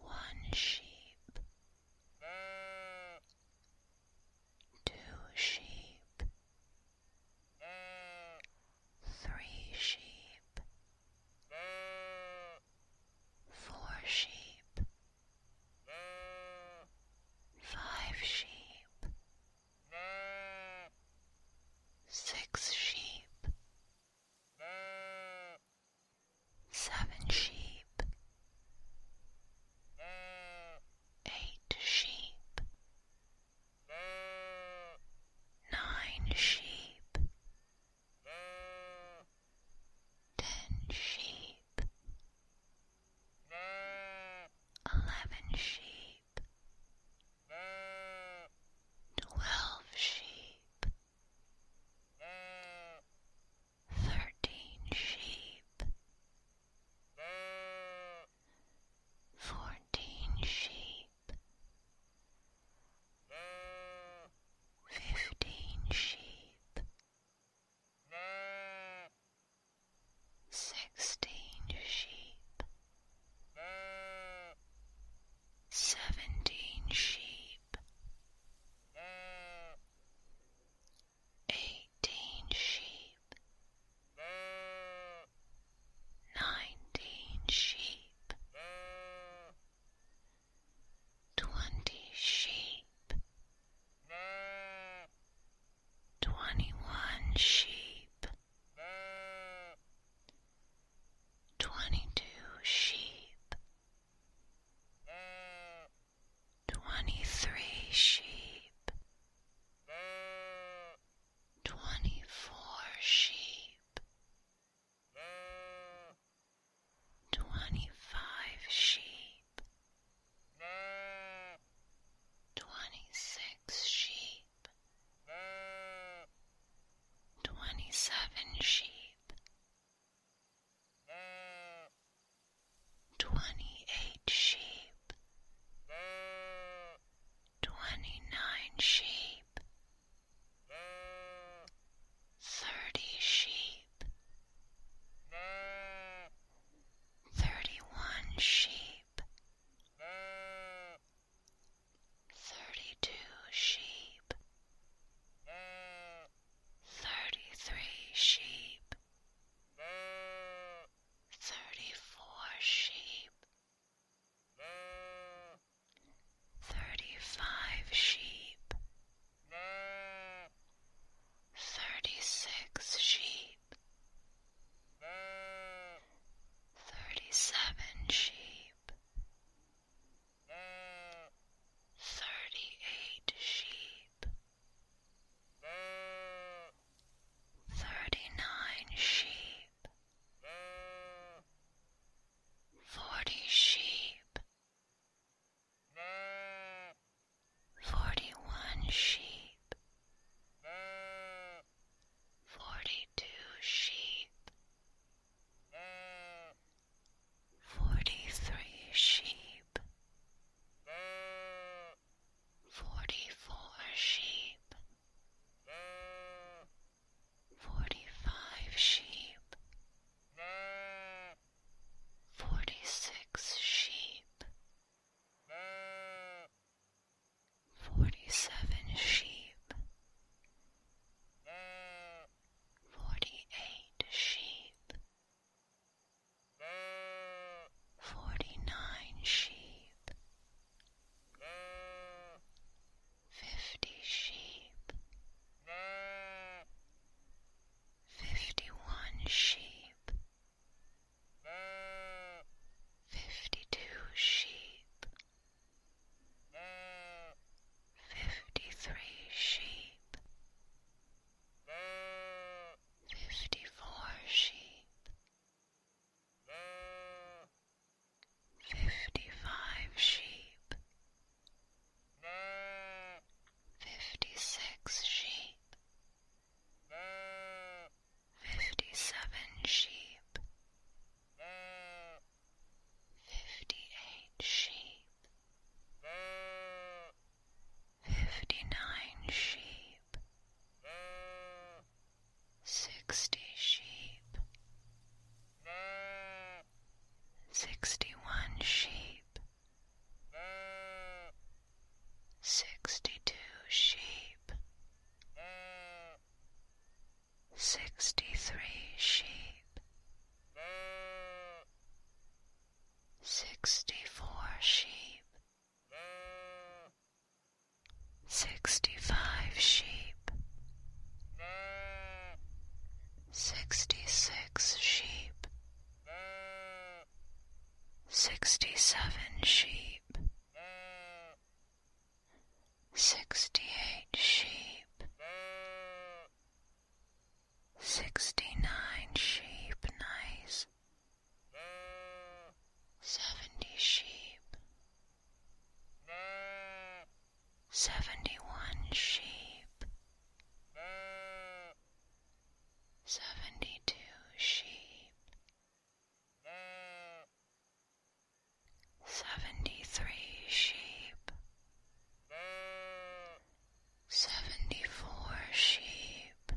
One sheep, two sheep, three sheep, four sheep, five sheep six sheep, seven sheep, eight sheep, nine sheep, ten sheep, eleven sheep, twelve sheep, thirteen sheep, fourteen sheep, fifteen sheep sixteen sheep, seventeen sheep, eighteen sheep, nineteen sheep, twenty sheep twenty one sheep, twenty two sheep, twenty three sheep, twenty four sheep, twenty five sheep. Twenty-six sheep. Twenty-seven sheep. Twenty-eight sheep. Twenty-nine sheep. Thirty sheep. Thirty-one sheep thirty two sheep, thirty three sheep, thirty four sheep. Thirty five sheep, thirty six sheep, thirty seven sheep, thirty eight sheep, thirty nine sheep, forty sheep forty one sheep, forty two sheep, forty three sheep, forty four sheep, forty five sheep. Forty six sheep, Forty seven sheep, forty eight sheep, forty nine sheep, fifty sheep, fifty one sheep fifty two sheep, fifty three sheep, fifty four sheep, fifty five sheep, fifty six sheep fifty seven sheep, fifty eight sheep, fifty nine sheep, sixty sheep, sixty one sheep sixty two sheep, sixty three sheep, sixty four sheep, sixty five sheep, sixty six sheep sixty seven sheep, sixty eight sheep, sixty nine sheep, nice, seventy sheep, seventy one sheep seventy two sheep, seventy three sheep, seventy four sheep,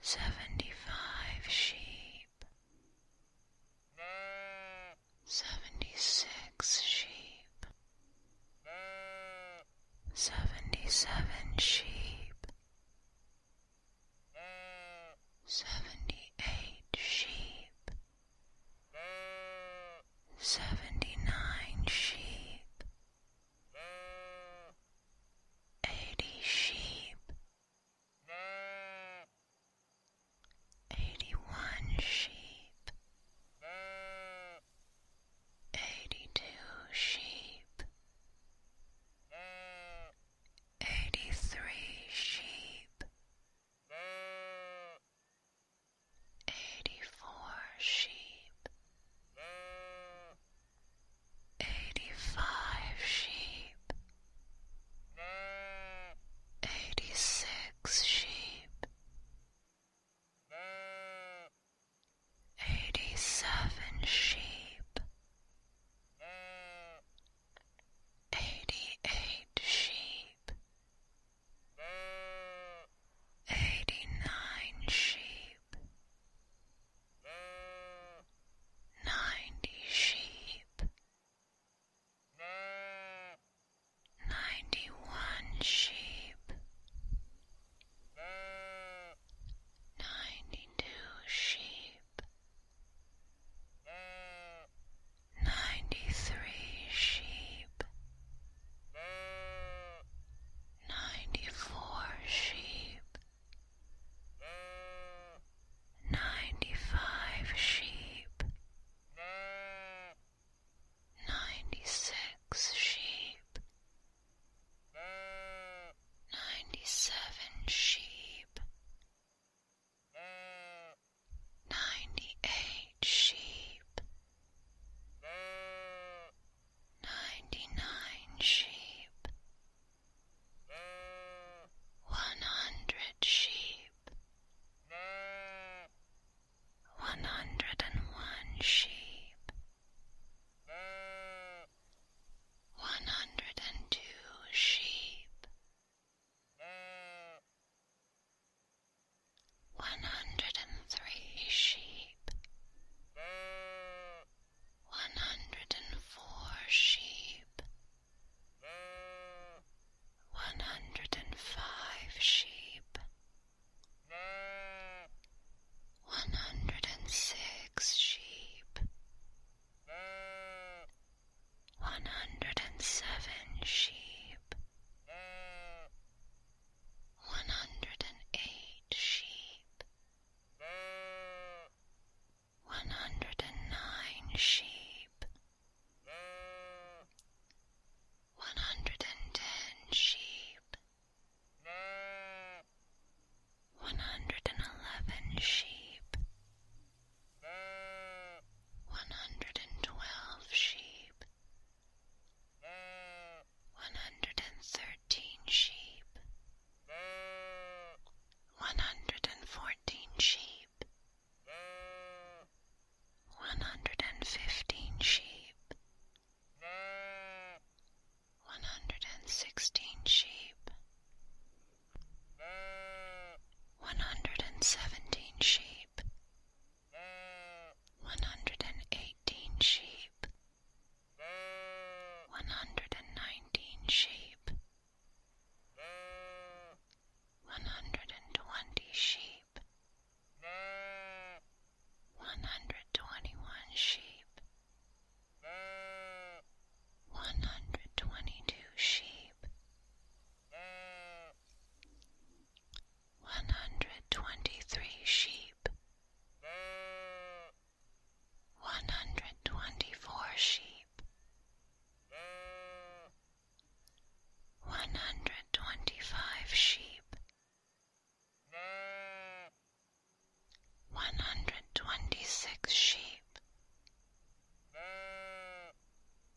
seventy five sheep, seventy six sheep seventy-seven sheep, seventy-eight sheep, seventy-nine sheep, eighty sheep, eighty-one sheep. Eighty-two sheep, eighty-three sheep, eighty-four sheep, eighty-five sheep, eighty-six sheep. Eighty seven sheep, eighty eight sheep, eighty nine sheep, ninety sheep ninety one sheep, ninety two sheep, ninety three sheep, ninety four sheep. Ninety five sheep, ninety six sheep, ninety seven sheep, ninety eight sheep, ninety nine sheep, one hundred sheep one hundred and one sheep, one hundred and two sheep, one hundred and three sheep, one hundred and four sheep, one hundred and five sheep. One hundred and six sheep. One hundred and seven sheep. One hundred and eight sheep. One hundred and nine sheep one hundred and ten sheep, one hundred and eleven sheep, one hundred and twelve sheep, one hundred and thirteen sheep, one hundred and fourteen sheep one hundred and fifteen sheep, one hundred and sixteen sheep, one hundred and seventeen sheep, one hundred and eighteen sheep, one hundred and nineteen sheep, one hundred and twenty sheep one hundred twenty one sheep, one hundred twenty two sheep, one hundred twenty three sheep, one hundred twenty four sheep one hundred twenty five sheep, one hundred twenty six sheep,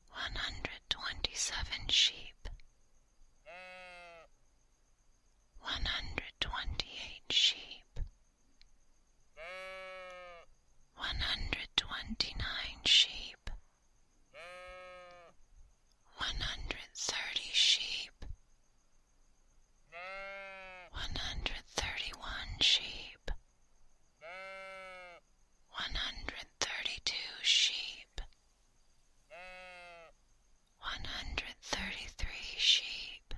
one hundred twenty seven sheep, one hundred twenty eight sheep, one hundred twenty nine sheep one hundred thirty sheep, one hundred thirty one sheep, one hundred thirty two sheep, one hundred thirty three sheep,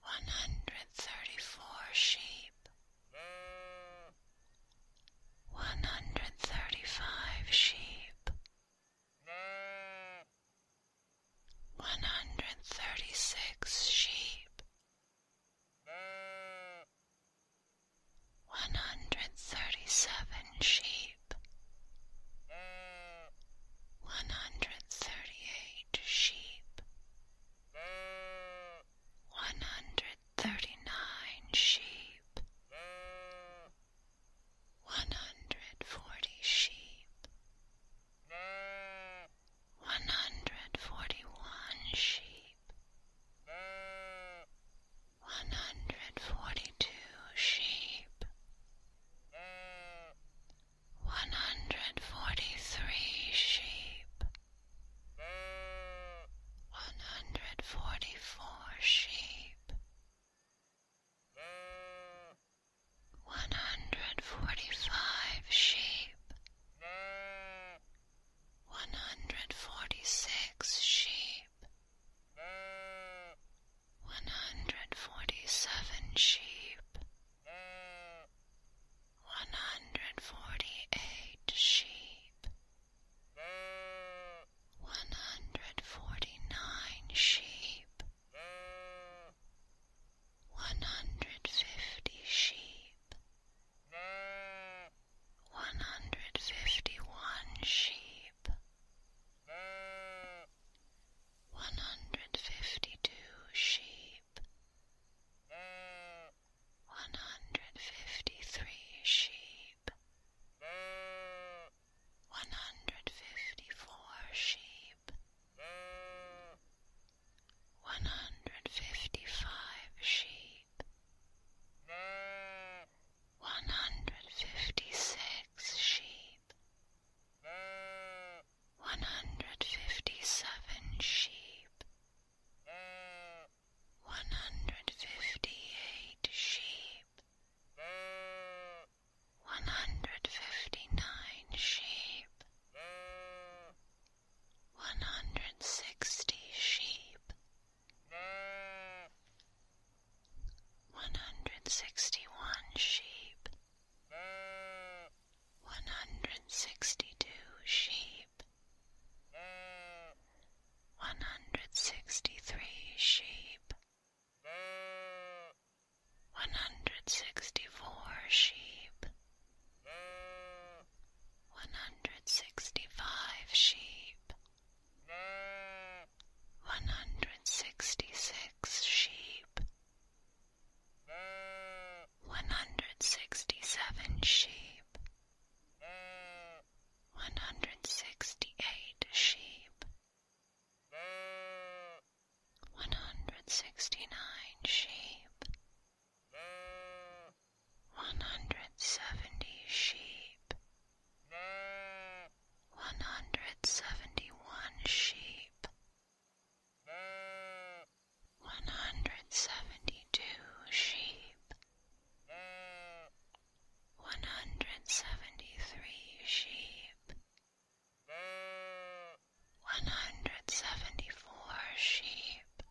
one hundred thirty four sheep. One hundred thirty five sheep, one hundred thirty six sheep, one hundred thirty seven sheep, one hundred thirty eight sheep, one hundred thirty nine sheep, one hundred forty sheep, one hundred forty one sheep, one hundred forty two sheep, one hundred forty three sheep one hundred forty four sheep, one hundred forty five sheep, one hundred forty six sheep, one hundred forty seven sheep one hundred forty eight sheep, one hundred forty nine sheep, one hundred fifty sheep, one hundred fifty one sheep. One hundred fifty two sheep, one hundred fifty three sheep, one hundred fifty four sheep, one hundred fifty five sheep, one hundred fifty six sheep, one hundred fifty seven sheep one hundred fifty eight sheep, one hundred fifty nine sheep, one hundred sixty sheep, one hundred sixty one sheep. One hundred sixty two sheep, one hundred sixty three sheep, one hundred sixty four sheep, one hundred sixty five sheep, one hundred sixty six sheep one hundred sixty seven sheep, one hundred sixty eight sheep, one hundred sixty nine sheep, one hundred seventy sheep, one hundred seventy one sheep one hundred seventy two sheep, one hundred seventy three sheep, one hundred seventy four sheep,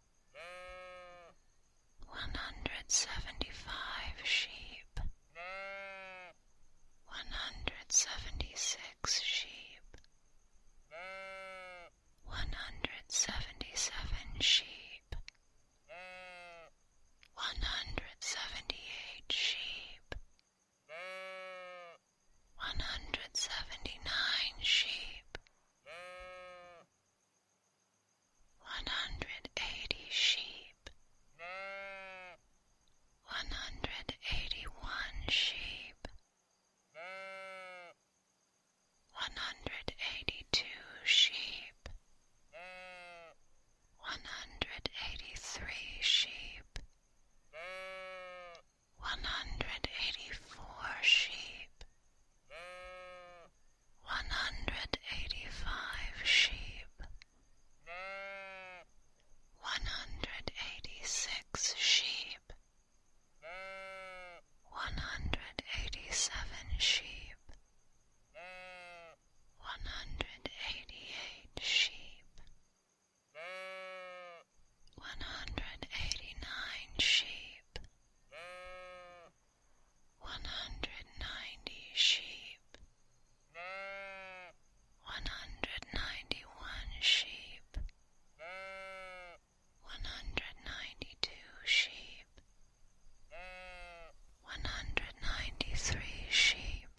one hundred seventy five sheep, one hundred seventy six sheep one hundred seventy seven sheep, one hundred seventy eight sheep, one hundred seventy nine sheep, one hundred eighty sheep, one hundred eighty one sheep one hundred eighty two sheep, one hundred eighty three sheep, one hundred eighty four sheep, one hundred eighty five sheep, one hundred eighty six sheep one hundred eighty seven sheep, one hundred eighty eight sheep, one hundred eighty nine sheep, one hundred ninety sheep, one hundred ninety one sheep one hundred ninety two sheep, one hundred ninety three sheep,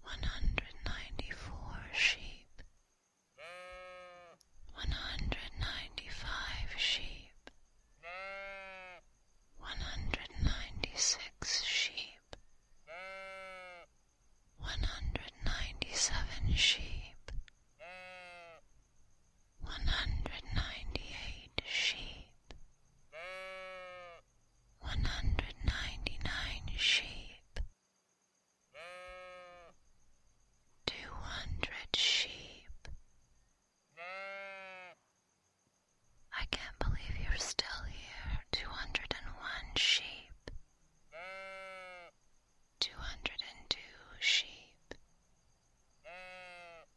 one hundred ninety four sheep, one hundred ninety five sheep, one hundred ninety six sheep one hundred ninety seven sheep, one hundred ninety eight sheep, one hundred ninety nine sheep, two hundred sheep. I can't believe you're still here. Two hundred and one sheep two hundred and two sheep,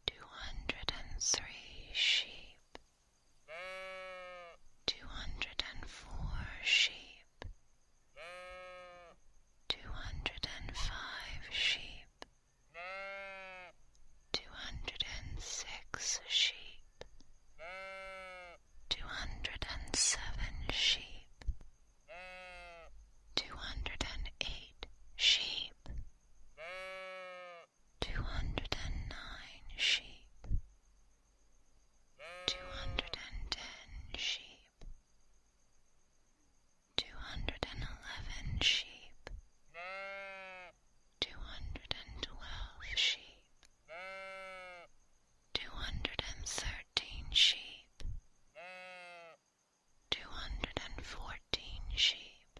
two hundred and three sheep, two hundred and four sheep, two hundred and five sheep, two hundred and six sheep two hundred and seven sheep, two hundred and eight sheep, two hundred and nine sheep, two hundred and ten sheep, two hundred and eleven sheep, two hundred and twelve sheep two hundred and thirteen sheep, two hundred and fourteen sheep,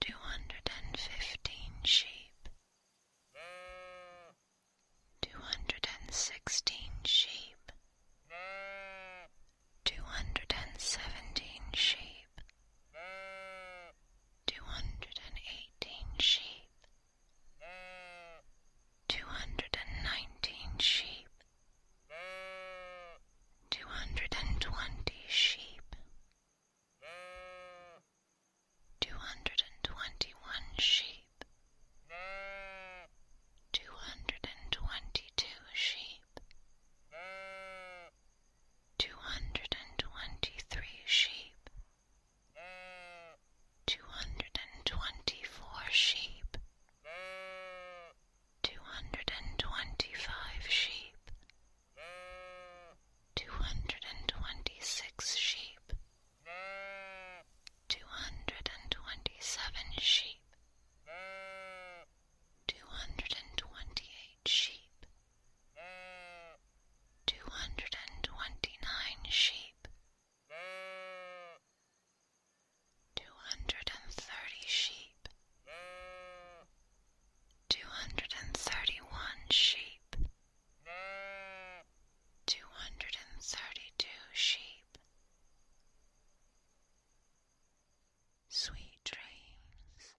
two hundred and fifteen sheep, two hundred and sixteen sheep, two hundred and seventeen sheep two hundred and eighteen sheep, two hundred and nineteen sheep, two hundred and twenty sheep, two hundred and twenty one sheep, two hundred and twenty two sheep. Two hundred and twenty three sheep, two hundred and twenty four sheep, two hundred and twenty five sheep, two hundred and twenty six sheep, two hundred and twenty seven sheep, two hundred and twenty eight sheep two hundred and twenty-nine sheep, two hundred and thirty sheep, two hundred and thirty-one sheep, two hundred and thirty-two sheep. Sweet dreams.